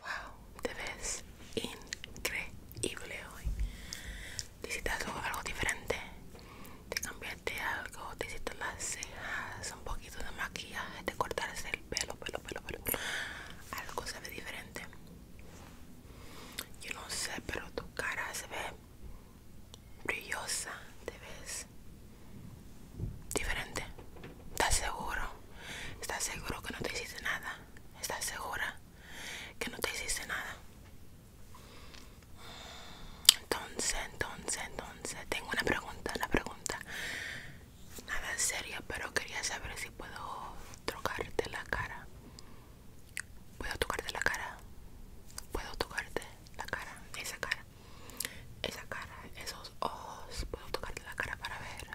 Wow, te ves increíble hoy. Te hiciste algo, algo diferente. Te cambiaste algo, te hiciste las cejas, un poquito de maquillaje, te cortaste el pelo, pelo, pelo, pelo. Algo se ve diferente. Yo no sé, pero tu cara se ve brillosa, te ves diferente. ¿Estás seguro? ¿Estás seguro que no te hiciste nada? ¿Estás segura que no te hiciste nada? Entonces, entonces, entonces, tengo una pregunta, la pregunta. Nada seria, pero quería saber si puedo tocarte la cara. ¿Puedo tocarte la cara? ¿Puedo tocarte la cara? Esa cara. Esa cara, esos ojos. ¿Puedo tocarte la cara para ver?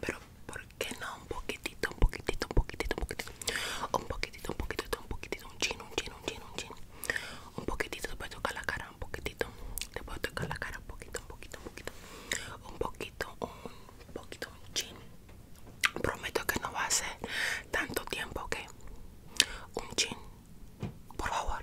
pero ¿por qué no un poquitito, un poquitito, un poquitito, un poquitito? Un poquitito, un poquitito, un poquitito, un chin, un chin, un chin, un chin. Un poquitito te puedo tocar la cara, un poquitito. Te puedo tocar la cara un poquito, un poquito, un poquito. Un poquito, un poquito, chin. Prometo que no va a ser tanto tiempo, que... Un chin, por favor.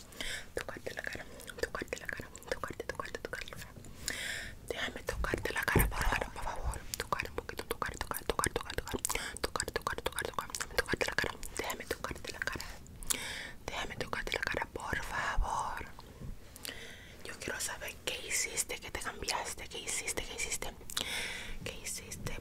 tocarte la cara, tocarte la cara, tocarte, tocarte, tocarte la cara. Déjame tocarte la cara por favor, por favor. Tocar un poquito, tocar, tocar, tocar, tocar, tocar, tocar, tocar, tocar, tocar. tocarte la cara, déjame tocarte la cara. Déjame tocarte la cara, por favor. Yo quiero saber qué hiciste, qué te cambiaste, qué hiciste, qué hiciste, qué hiciste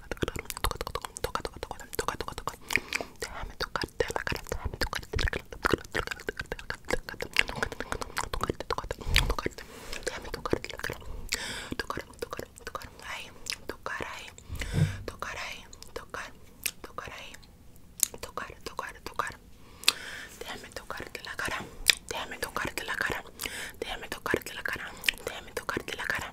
Déjame tocarte la cara, déjame tocarte la cara, tocarte, tocarte, déjame tocarte la cara, tocar, tocar, tocar ahí, tocar ahí, tocar ahí, tocar, tocar ahí, tocar, tocar, tocar, déjame tocarte la cara, déjame tocarte la cara, déjame tocarte la cara, déjame tocarte la cara.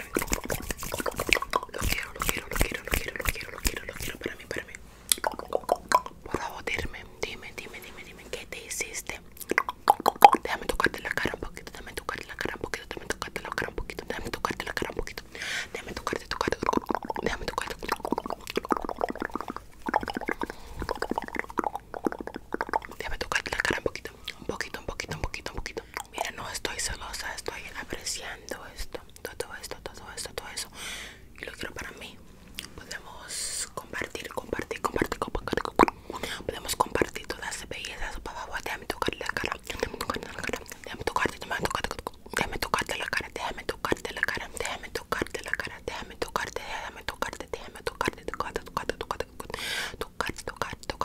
Lo quiero, lo quiero, lo quiero, lo quiero, lo quiero, lo quiero, para mí, para mí. Por favor, dime, dime, dime, dime, dime, ¿qué te hiciste? Déjame tocarte la cara un poquito, déjame tocarte la cara un poquito, déjame tocarte la cara un poquito, déjame tocarte la cara un poquito, déjame tocarte, tocarte, déjame tocarte. Déjame tocarte la cara un poquito. Un poquito, un poquito, un poquito, un poquito. Mira, no estoy celosa, estoy apreciando esto, todo esto, todo esto, todo eso. Y lo quiero para mí. Podemos compartir, compartir, compartir, Podemos compartir todas las bellezas. la cara. tocarte la cara. Déjame tocarte, la cara, déjame tocarte la cara, tocarte la cara, déjame tocarte,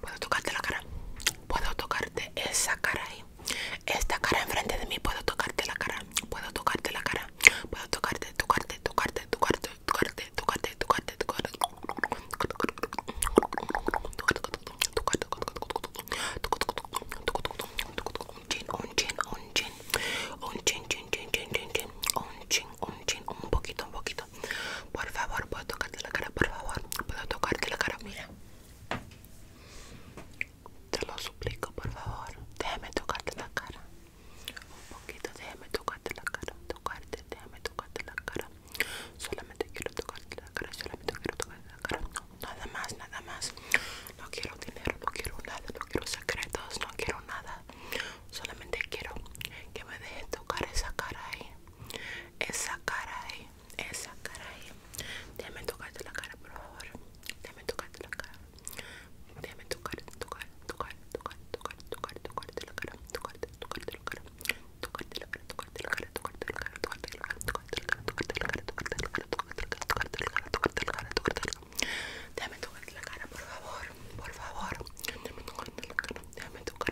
Puedo tocarte la cara. Puedo tocarte esa cara ahí. Esta cara enfrente de mí. Puedo tocarte la cara. Puedo tocarte la cara. Puedo tocarte, tocarte, tocarte, tocarte, tocarte, Un chin, un chin, chin, chin. Un chin, un chin. Un poquito, un poquito. Por favor, puedo tocarte la cara, por favor. Puedo tocarte la cara, mira. Te lo suplico, por favor. Déjame tocarte la cara. Un poquito, déjame tocarte la cara. Tocarte, déjame tocarte la cara. Solamente quiero tocarte la cara, solamente quiero tocarte la cara. No, nada más, nada más. No quiero dinero, no quiero nada, no quiero secretos, no quiero nada. Solamente quiero que me dejes tocar esa cara ahí. Esa cara ahí, esa cara ahí. Déjame tocarte la cara, por favor. Déjame tocarte la cara. Déjame tocar, tocar, tocar, tocar, tocar, tocar, tocarte la cara, tocarte, tocarte la cara, tocarte la cara, tocarte la cara, tocarte la cara, tocarte la cara, tocarte la cara, tocarte la cara, tocarte la cara, tocarte la cara, tocarte la cara, tocarte Déjame tocarte la cara, por favor, por favor. Déjame tocarte la cara, déjame tocar,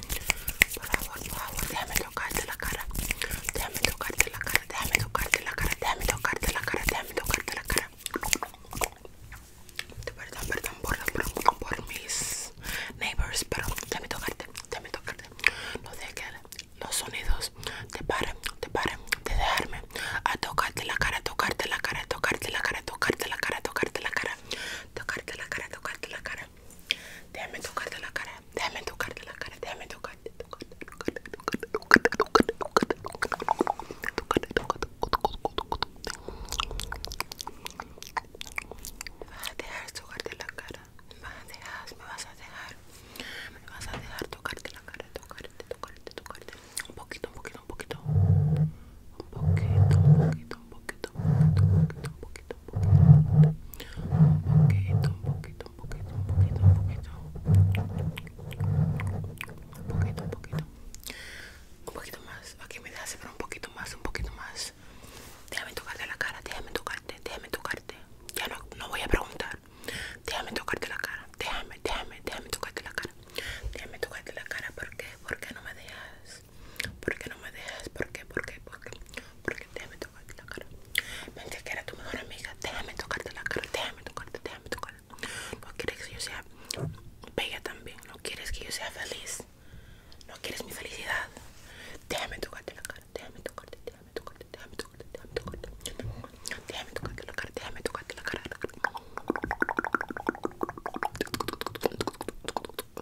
Por favor, por favor, déjame tocarte la cara. Déjame tocarte la cara, déjame tocarte la cara, déjame tocarte la cara, déjame tocarte la cara. Perdón, perdón por, por mis neighbors, pero déjame tocarte, déjame tocarte. No dejes que los sonidos te paren, te paren de dejarme a tocarte la cara, tocarte la cara, tocarte la cara, tocarte la cara, tocarte la cara tocarte la cara, tocarte la cara. amo tocarte la cara, amo tocarte la cara, tocarte, tocarte, tocarte, vas a dejar tocarte la cara, vas a dejar, me vas a dejar, tocarte la cara, un poquito, un poquito, un poquito, un poquito, un poquito un poquito, un poquito, un poquito, un poquito, un poquito, un poquito, un poquito, un poquito, un poquito, un poquito, un poquito más. Aquí me dejas un poquito más, un poquito más. Déjame tocarte la cara, déjame tocarte, déjame tocarte. Ya no voy a preguntar. Déjame tocarte la cara, déjame, déjame, déjame tocarte la cara. Déjame tocarte la cara, ¿por qué? ¿Por qué no me dejas? ¿Por qué no me dejas? ¿Por qué? ¿Por qué? ¿Por qué? ¿Por qué? Déjame tocarte la cara. Pensé que era tu mejor amiga. Déjame tocarte la cara. Déjame tocarte, déjame tocarte. No quieres que yo sea bella también. No quieres que yo sea feliz. No quieres mi felicidad. Déjame tocarte la cara. Déjame tocarte, déjame tocarte, déjame tocarte, déjame tocarte. Déjame tocarte la cara. Déjame tocarte la cara.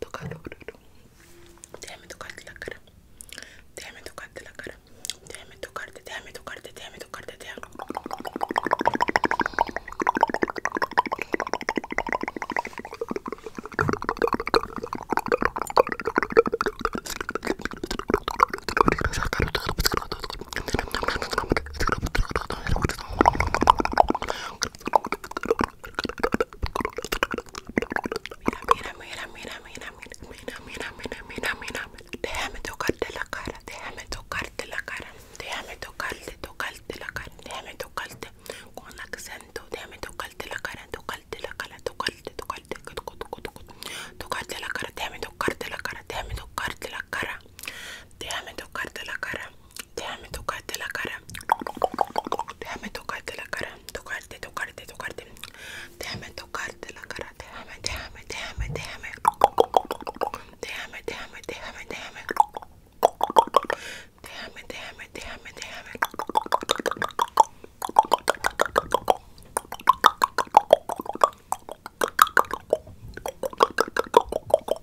tocarlo déjame tocarte la cara déjame tocarte la cara déjame tocarte déjame tocarte déjame tocarte déjame Mira, mira, mira, mira, mira, mira, mira, mira, mira, déjame tocarte la cara, déjame tocarte la cara, déjame tocarte, tocarte la cara, déjame tocarte con acento, déjame tocarte la cara, tocarte la cara, tocarte, tocarte, tocarte la cara, déjame tocarte la cara, déjame tocarte la cara, déjame tocarte la cara, Déjame tocarte la cara. Déjame tocarte la cara. Tocarte, tocarte, tocarte. Déjame tocarte la cara. Déjame, déjame, déjame, déjame. Déjame, déjame, déjame, déjame. Déjame, déjame, déjame, déjame.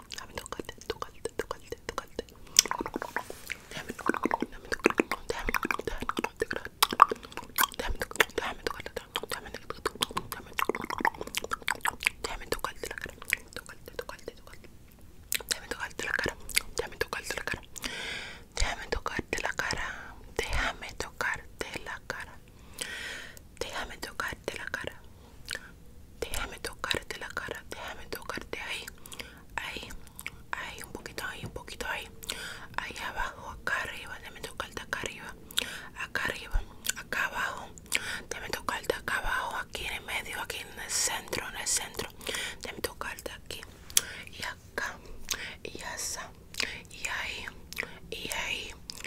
Déjame tocarte, Déjame, déjame, déjame, déjame, tocarte, déjame, la Déjame tocarte la cara, déjame la cara, déjame la cara, Déjame tocarte la cara. Déjame tocarte la cara. Déjame tocarte ahí. Ahí. Ahí. Un poquito ahí. Un poquito ahí. Ahí abajo. Acá arriba. Déjame tocarte acá arriba. Acá arriba. Acá abajo. Déjame tocarte acá abajo. Aquí en el medio. Aquí en el centro. En el centro. Déjame tocarte aquí. Y acá. Y así. Y ahí. Y ahí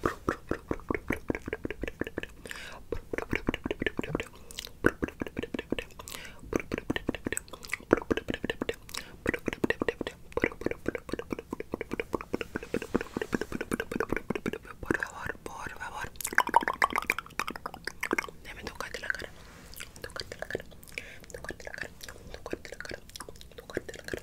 Por favor, por favor. Déjame tocarte la cara. Tocarte la cara. Tocarte la cara. Tocarte la cara. Tocarte la cara.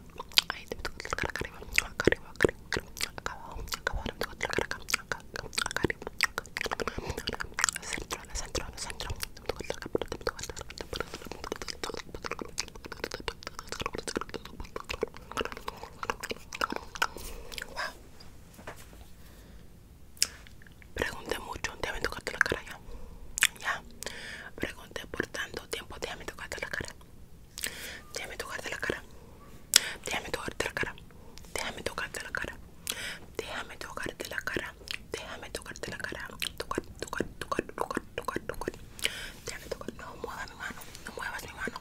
Ahí te acá arriba, acá acá centro, Pregunté mucho, ¿te me tocarte la cara ya? Ya. Pregunté por tanto tiempo, ¿te me la cara? Déjame tocarte la cara. Déjame tocarte la cara. Déjame tocarte la cara. Déjame tocarte la cara. Déjame tocarte la cara. Tocar, tocar, tocar, tocar, tocar, tocar. Déjame tocar. No muevas mi mano. No muevas mi mano.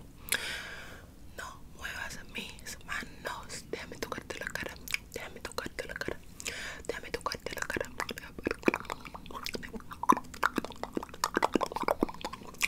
No muevas mis manos. Déjame tocarte la cara. Déjame tocarte la cara. Déjame tocarte la cara.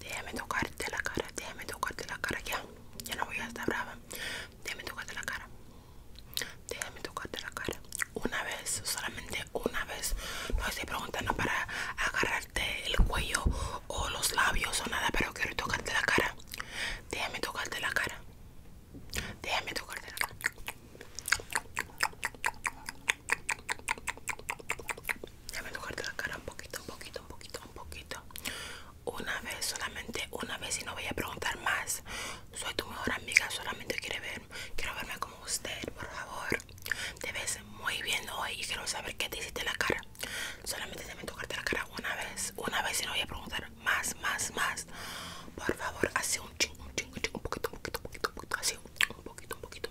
Déjame tocarte la cara. Déjame tocarte la cara. Déjame tocarte la cara ya. Ya no voy a estar brava. Déjame tocarte la cara. Déjame tocarte la cara. Una vez, solamente una vez. No estoy preguntando para agarrarte el cuello o los labios o nada, pero quiero tocarte la cara. Déjame tocarte la cara. Déjame tocarte la cara. Déjame tocarte la cara un poquito, un poquito, un poquito, un poquito una vez, solamente una vez y no voy a preguntar más. Soy tu mejor amiga, solamente quiere ver, quiero verme como usted, por favor. Te ves muy bien hoy y quiero saber qué te hiciste en la cara. Solamente déjame tocarte la cara una vez, una vez y no voy a preguntar más, más, más. Por favor, hace un ching, un ching, un poquito, un poquito, poquito, un poquito, un poquito, un poquito.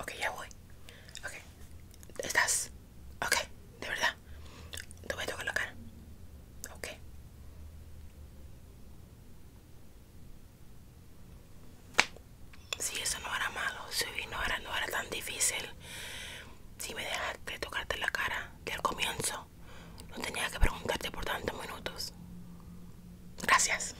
Ok, ya voy. Ok. ¿Estás? Ok, de verdad. Te voy a tocar la cara. Ok. Si eso no era malo, si no era, no era tan difícil. Si me dejaste tocarte la cara que al comienzo, no tenía que preguntarte por tantos minutos. Gracias.